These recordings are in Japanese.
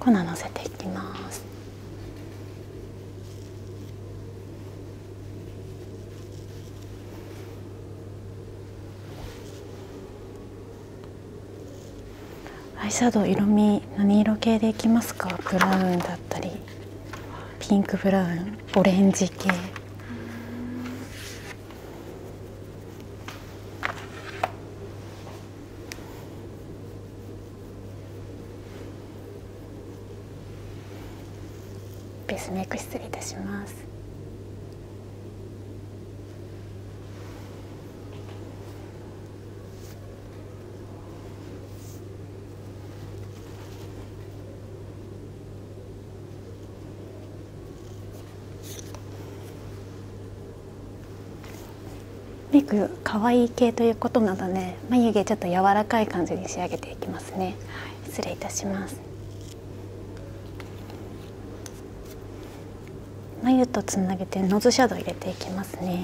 粉をのせていきます。アイシャドウ色味何色系でいきますかブラウンだったりピンクブラウンオレンジ系ベースメイク失礼いたします可愛い系ということなので眉毛ちょっと柔らかい感じに仕上げていきますね、失礼いたします眉とつなげてノズシャドウ入れていきますね。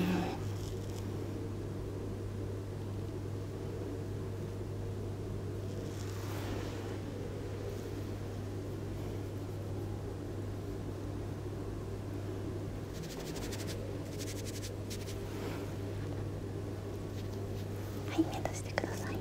はい目閉してください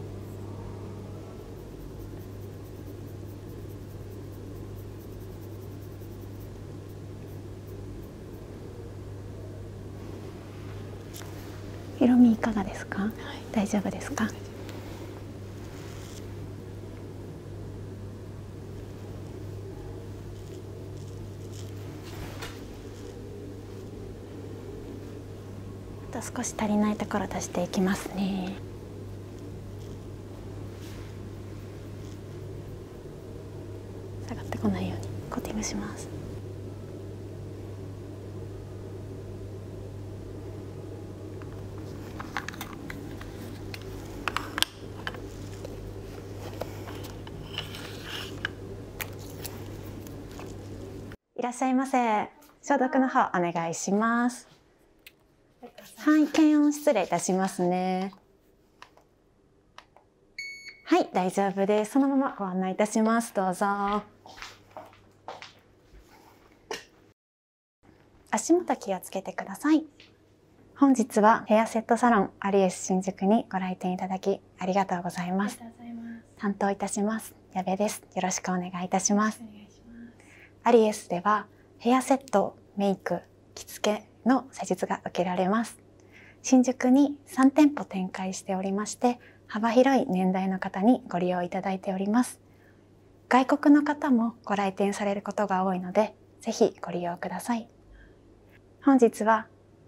色味いかがですか、大丈夫ですかあと少し足りないところ足していきますね下がってこないようにコーティングしますいらっしゃいませ。消毒の方お願いします。はい、検温失礼いたしますね。はい、大丈夫です。そのままご案内いたします。どうぞ。足元気をつけてください。本日はヘアセットサロン有吉新宿にご来店いただきありがとうございます。ます担当いたします矢部ですよろしくお願いいたしますアリエスではヘアセットメイク着付けの施術が受けられます新宿に3店舗展開しておりまして幅広い年代の方にご利用いただいております外国の方もご来店されることが多いのでぜひご利用ください本日は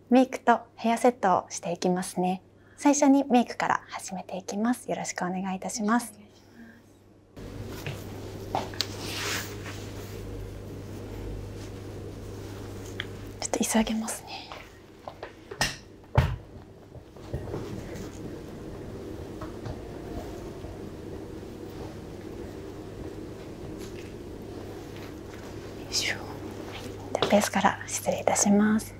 メイクとヘアセットをしていきますね最初にメイクから始めていきます。よろしくお願いいします。ちょっと急げますね。ベースから失礼いたします。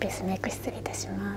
ペースメイク失礼いたしま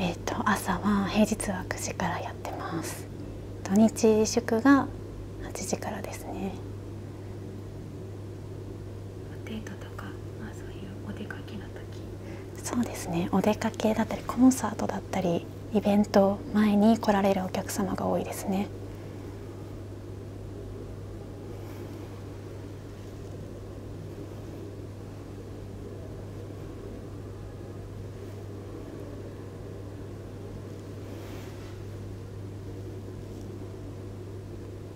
えーと、朝は平日は9時からやってます土日宿が8時からですねデートとか、まあ、そういうお出かけの時そうですねお出かけだったりコンサートだったりイベント前に来られるお客様が多いですね。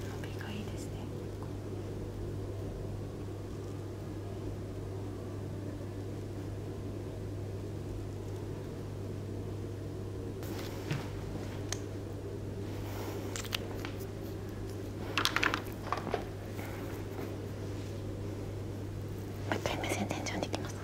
伸びがいいですね。もう一回目線天井に行きます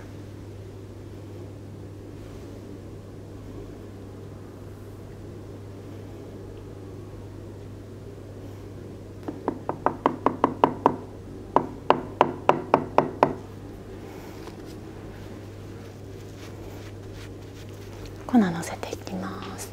粉のせていきます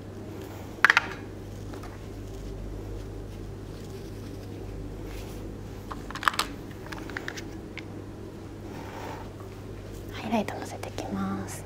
ハイライトのせてきます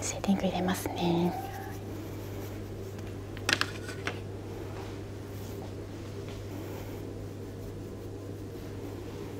シェーディング入れますね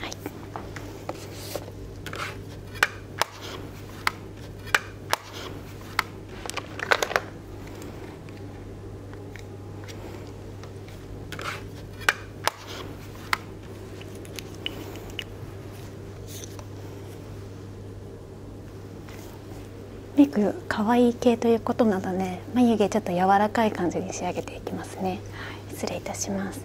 はいメイク可愛い系ということなので眉毛ちょっと柔らかい感じに仕上げていきますね、失礼いたします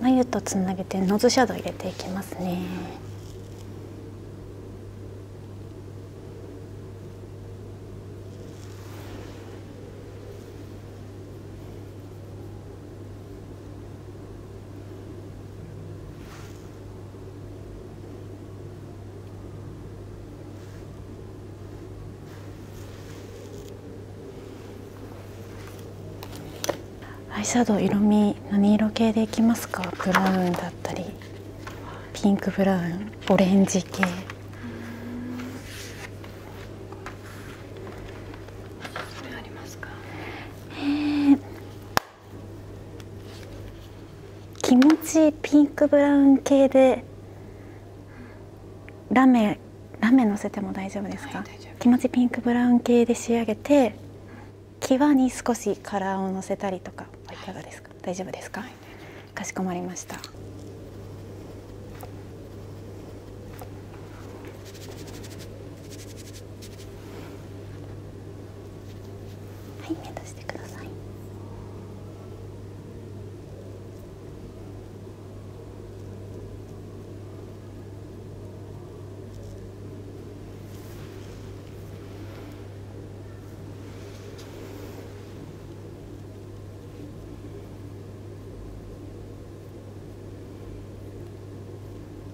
眉とつなげてノズシャドウ入れていきますね。アイシャドウ色味何色系でいきますかブラウンだったりピンクブラウンオレンジ系えー、気持ちピンクブラウン系でラメラメのせても大丈夫ですか、気持ちピンクブラウン系で仕上げて際に少しカラーをのせたりとかいかがですか、大丈夫ですか、かしこまりましたはい目閉じてくださいはい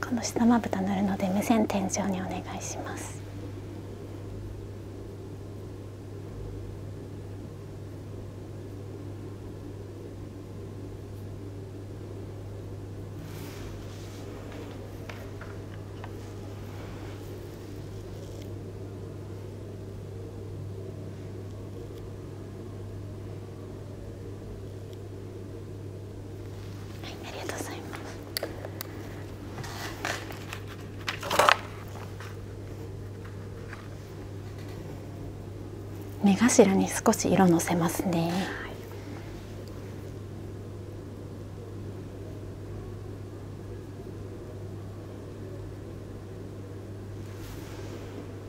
この下まぶた塗るので目線天井にお願いしますはい、ありがとうございます。目頭に少し色のせますね。はい、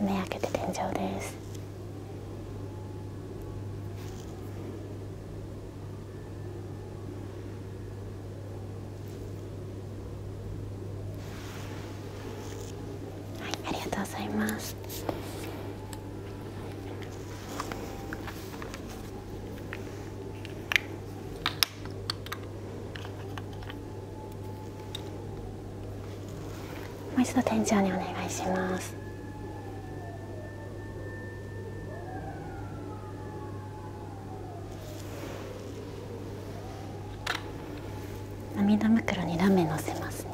目開けて天井ですはいありがとうございますもう一度店長にお願いします涙袋にラメのせますね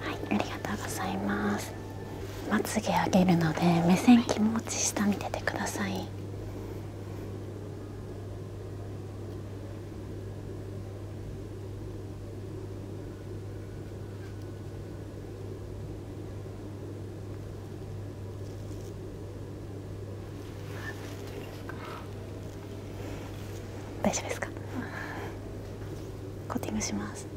はいありがとうございますまつげ上げるので目線気持ち下見ててください大丈夫ですかコーティングします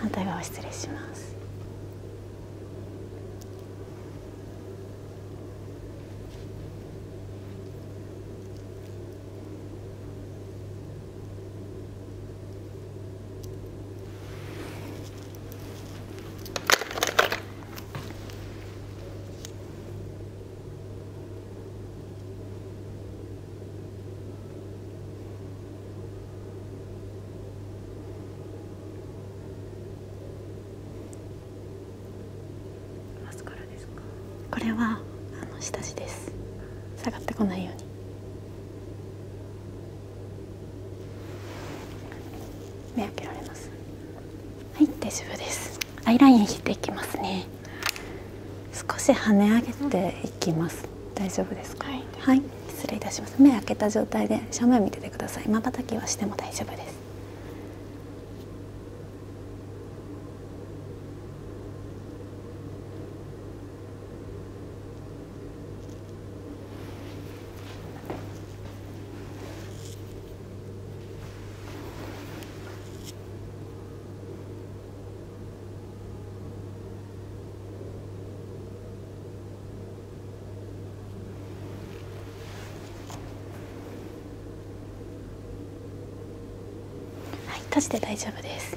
反対側失礼しますマスカラですかこれはあの下地です下がってこないように目開けられますはい大丈夫ですアイライン引いていきますね少し跳ね上げていきます、大丈夫ですか、はい、失礼いたします目開けた状態で正面見ててくださいまばたきはしても大丈夫ですはい、閉じて大丈夫です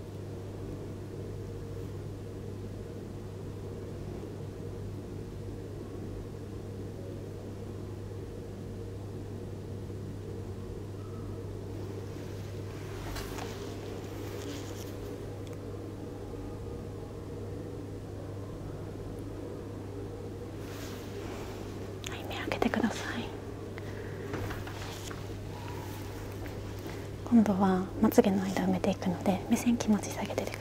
はい目開けてください。今度はまつげの間埋めていくので目線気持ち下げててください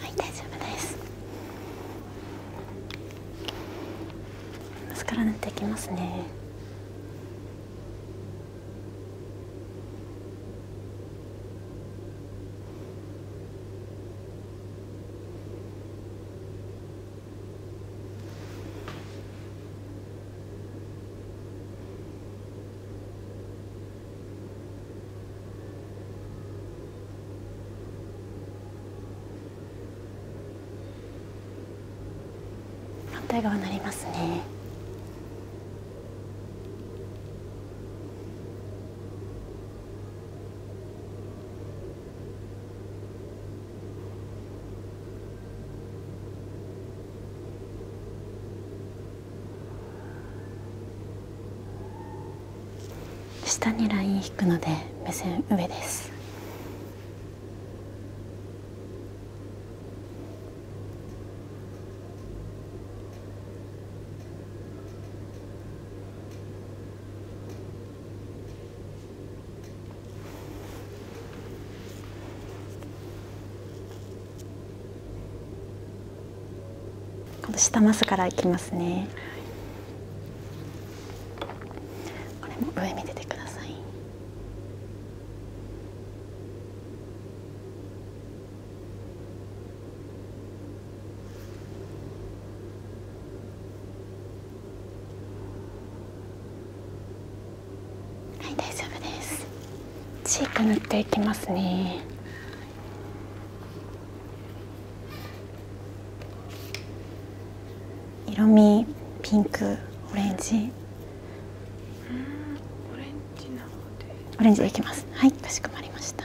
はい大丈夫ですマスカラ塗っていきますね反対側になりますね。下にライン引くので目線上ですこの下マスからいきますね、これも上見ててくださいはい大丈夫ですチーク塗っていきますね色味ピンクオレンジオレンジでいきますはいかしこまりました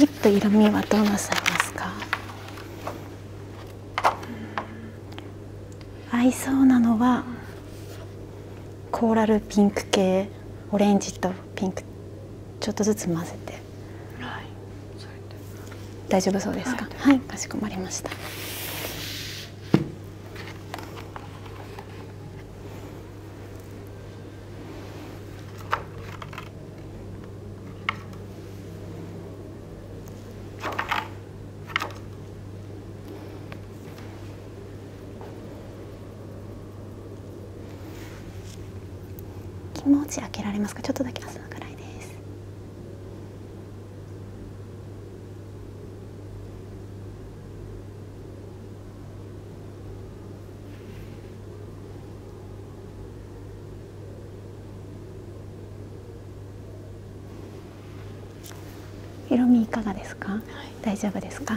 ちょっと色味はどうなさいますか、うん、合いそうなのはコーラルピンク系オレンジとピンクちょっとずつ混ぜてはい大丈夫そうですかはい、かしこまりました気持ち開けられますかちょっとだけ朝のくらいです色味いかがですか、大丈夫ですか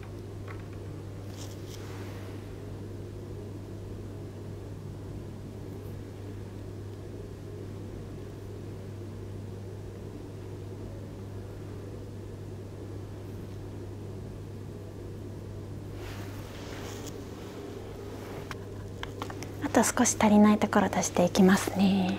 あと少し足りないところ出していきますね。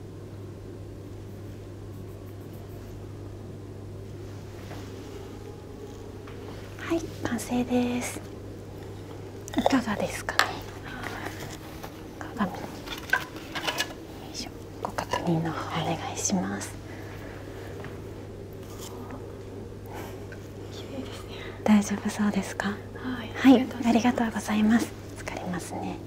はい完成ですいかがですかご確認のお願いします、大丈夫そうですかはい、ありがとうございます疲れますね